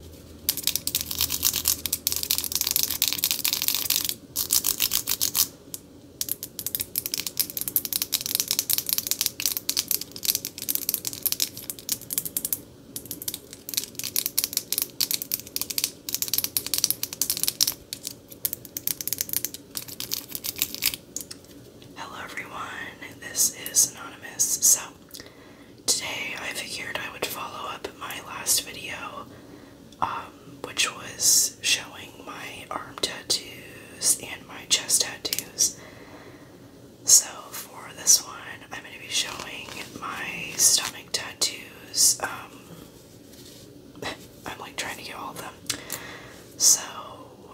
Hello everyone, this is Anonymous. So, Today I figured I would follow up my last video, um, which was showing my arm tattoos and my chest tattoos. So for this one, I'm going to be showing my stomach tattoos. Um, I'm like trying to get all of them. So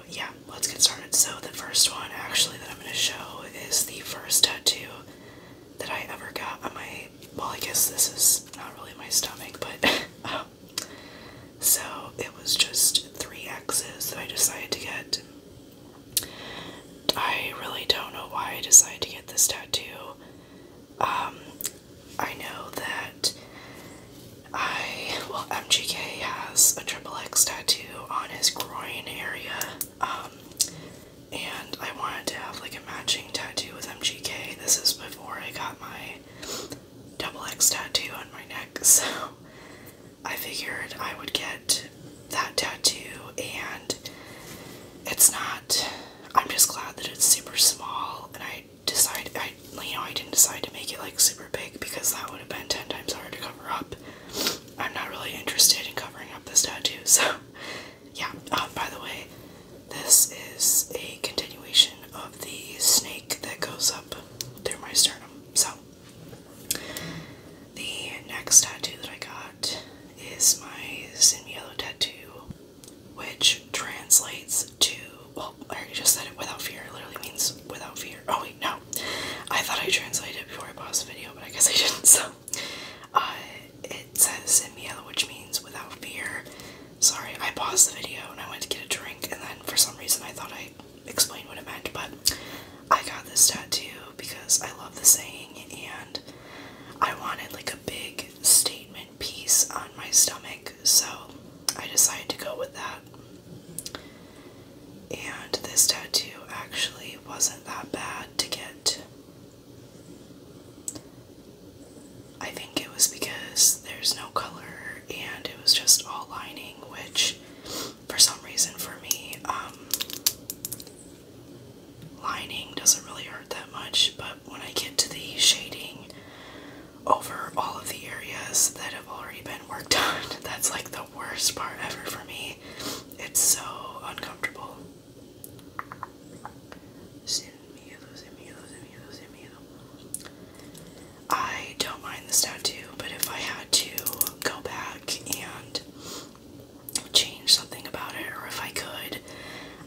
yeah, let's get started. So the first one actually that I'm going to show is the first tattoo that I ever got on my. Well, I guess this is not really my stomach, but. Um, so it was just three X's that I decided to get. I really don't know why I decided to get this tattoo. Um, I know that I, well, MGK has a triple X tattoo on his groin area. Um, and I wanted to have like a matching tattoo with MGK. This is before I got my double X tattoo on my neck, so I figured I would get that tattoo and it's not I'm just glad that it's super small and I decided I you know I didn't decide to make it like super big because that would have been ten times harder to cover up. I'm not really interested in covering up the tattoo, so yeah, um, by the way, this is a continuation of the snake that goes up through my sternum. So, the next tattoo that I got is my Sin Yellow tattoo, which translates to, well, I already just said it, without fear, it literally means without fear. Oh wait, no. I thought I translated it before I paused the video, but I guess I didn't, so. Uh, it says in Miela, which means without fear. Sorry, I paused the video and I went to get a drink, and then for some reason I thought I explained what it meant, but I got this tattoo because I love the saying, and I wanted like a big statement piece on my stomach, so I decided to go with that. And this tattoo actually wasn't that bad to get. I think it was because there's no color and it was just all lining, which for some reason for me, um, lining doesn't really hurt that much, but when I get to the shading over all of the areas that have already been worked on, that's like the worst part ever for me. It's so uncomfortable. I don't mind this tattoo, but if I had to go back and change something about it, or if I could,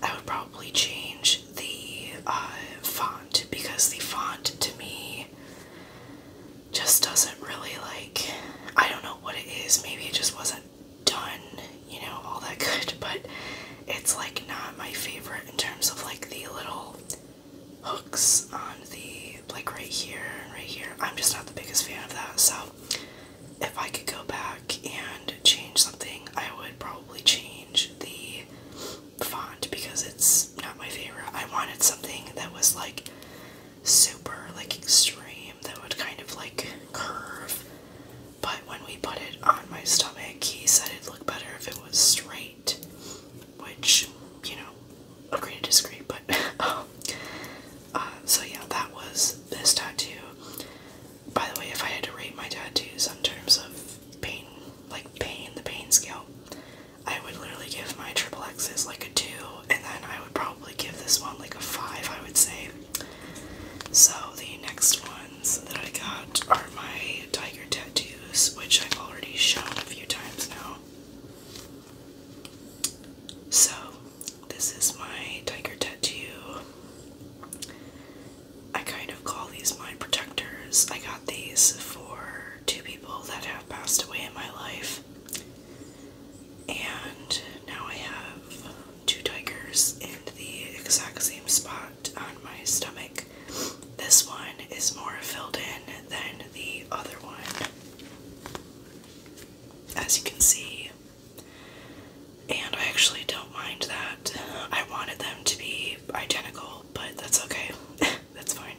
I would probably change the uh, font because the font to me just doesn't really like. I don't know what it is. Maybe it just wasn't done, you know, all that good, but it's like not my favorite in terms of like the little hooks on the like right here and right here. I'm just not the biggest fan of that. So if I could go back and change something, I would probably change the font because it's not my favorite. I wanted something that was like super like extreme that would kind of like curve but when we put it on my stomach, he said it'd look better if it was straight. Which, you know, agree to disagree, but um, uh, so yeah, that was this tattoo. By the way, if I had to rate my tattoos in terms of pain, like pain, the pain scale, I would literally give my triple X's like a 2, and then I would probably give this one like a 5, I would say. So the next ones that I got are my tiger tattoos, which I've already shown a few times now. So this is my tiger tattoo. I kind of call these my protectors. I got these for two people that have passed away in my life. And now I have two tigers in the exact same spot on my stomach. This one is more filled in than the other one, as you can see. And I actually don't mind that. I wanted them to be identical, but that's okay. that's fine.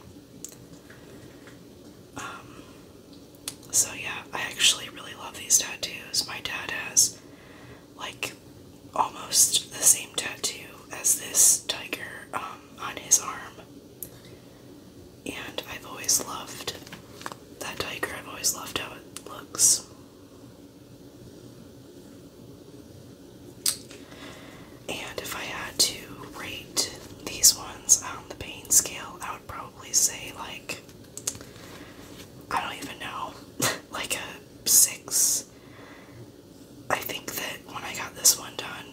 Um, so yeah, I actually really love these tattoos. My dad has like almost the same tattoo as this tiger um, on his arm. And I've always loved that tiger. I've always loved how it looks. And if I had to rate these ones on the pain scale I probably say like I don't even know, like a six. I think that when I got this one done,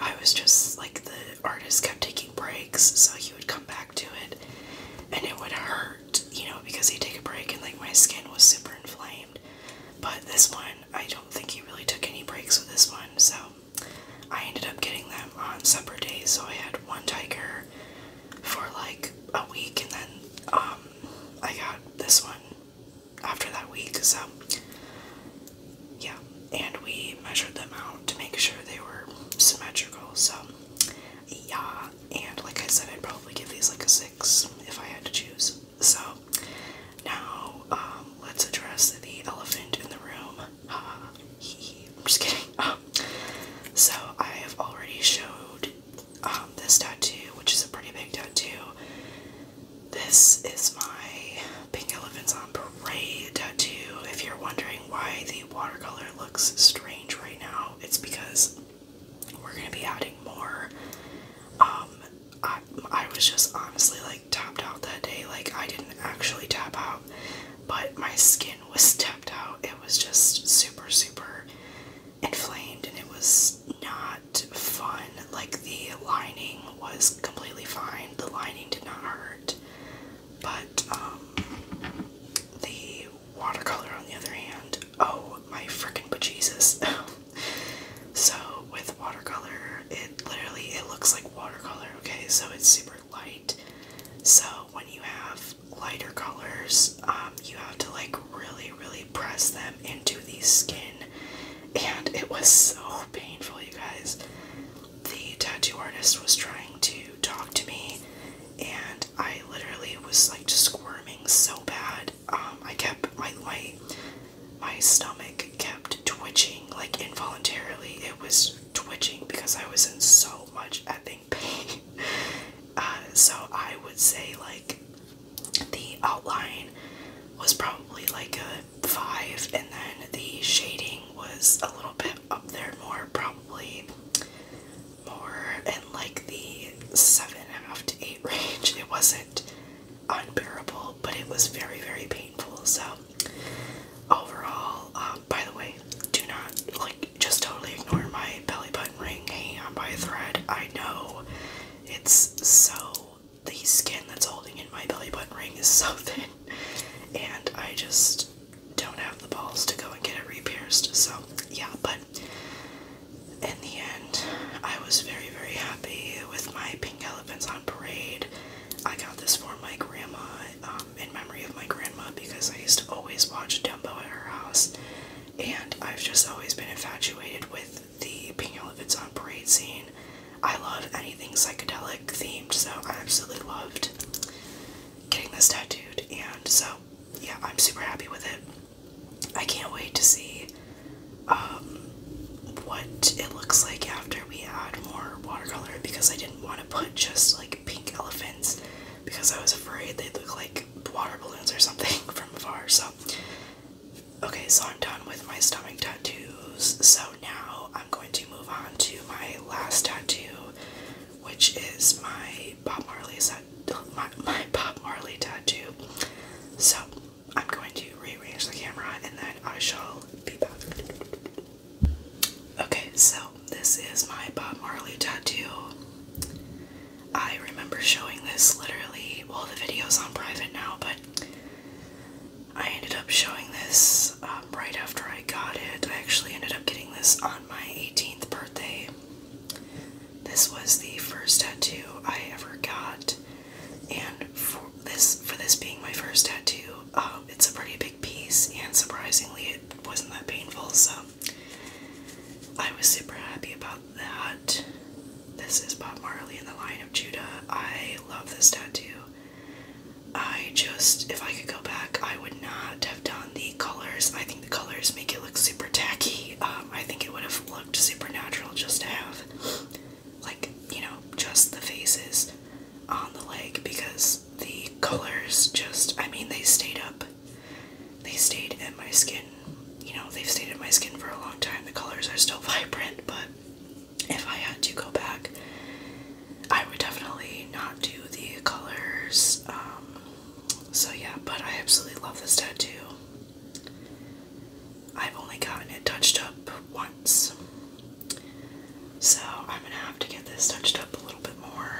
I was just like the artist kept taking breaks, so he would come back to it and it would hurt, you know, because he'd take a break and like my skin was super inflamed. But this one, I don't think he really took any breaks with this one, so I ended up getting them on separate days. So I had one tiger, for like a week and then um I got this one after that week so yeah and we measured them out to make sure they were symmetrical so yeah and like I said I'd probably give these like a six if I had to choose so now um let's address the elephant in the room I'm just kidding. Um, so I have already showed um, this tattoo, which is a pretty big tattoo. This is my Pink Elephants on Parade tattoo. If you're wondering why the watercolor looks strange right now, it's because we're gonna be adding more. Um, I, I was just honestly like tapped out that day. Like I didn't actually tap out, but my skin was tapped out. It was just super, super inflamed and it was not fun. Like the lining was completely fine. The lining did not hurt. But um, the watercolor on the other hand, oh my freaking Jesus! so with watercolor it literally it looks like watercolor, okay? So it's super light. So when you have lighter colors, um, you have to like really, really press them into the skin, and it was so painful, you guys. The tattoo artist was trying to talk to me, and I literally was like just squirming so bad. Um, I kept my my my stomach kept twitching like involuntarily. It was twitching because I was in so much I think pain, Uh, so I would say like the outline was probably like a five, and then the shading was a little bit up there more, probably more in like the seven and a half to eight range. It wasn't unbearable, but it was very very painful. So overall, um, by the way, do not like just totally ignore my belly button ring hanging on by thread. I know it's so the skin that's holding in my belly button ring is so thin, and I just don't have the balls to go and get it re-pierced. So yeah, but in the end, I was very very happy with my pink elephants on parade. I got this for my grandma. Um, memory of my grandma because I used to always watch Dumbo at her house, and I've just always been infatuated with the Pink Elephants on Parade scene. I love anything psychedelic themed, so I absolutely loved getting this tattooed, and so yeah, I'm super happy with it. I can't wait to see um, what it looks like after we add more watercolor because I didn't want to put just like pink elephants because I was afraid they'd look like water balloons or something from far. So, okay, so I'm done with my stomach tattoos. So now I'm going to move on to my last tattoo, which is my Bob Marley my Bob Marley tattoo. So I'm going to rearrange the camera and then I shall be back. Okay, so this is my Bob Marley tattoo. I remember showing this literally, well, the video's on private now, but I ended up showing this um, right after I got it. I actually ended up getting this on my 18th birthday. This was the first tattoo I ever got, and for this for this being my first tattoo, um, it's a pretty big piece, and surprisingly, it wasn't that painful. So I was super happy about that. This is Bob Marley in the line of Judah. I love this tattoo. I just, if I could go back, I would not have done the colors. I think the colors make it look super tacky. Um, I think it would have looked supernatural just to have, like, you know, just the faces on the leg because the colors just, I mean, they stayed up they stayed in my skin. You know, they've stayed in my skin for a long time. The colors are still vibrant, but if I had to go back, I would definitely not do the colors. Um, so, yeah, but I absolutely love this tattoo. I've only gotten it touched up once. So, I'm gonna have to get this touched up a little bit more.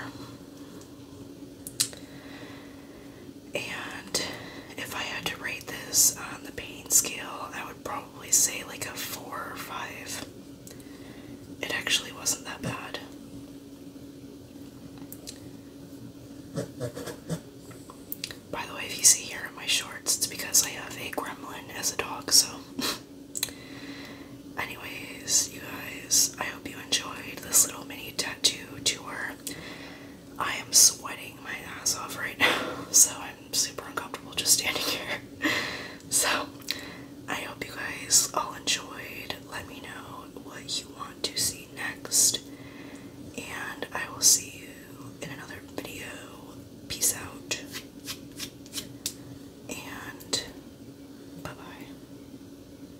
And if I had to rate this on the pain scale, I would probably say like a 4 or 5. It actually wasn't that bad. By the way, if you see here on my shorts, it's because I have a gremlin as a dog, so. Anyways, you guys, I hope you enjoyed this little mini tattoo to I am sweating my ass off right now, so I'm super uncomfortable just standing here. So, I hope you guys all enjoyed. Let me know what you want to see next, and I will see you in another video. Peace out, and bye bye.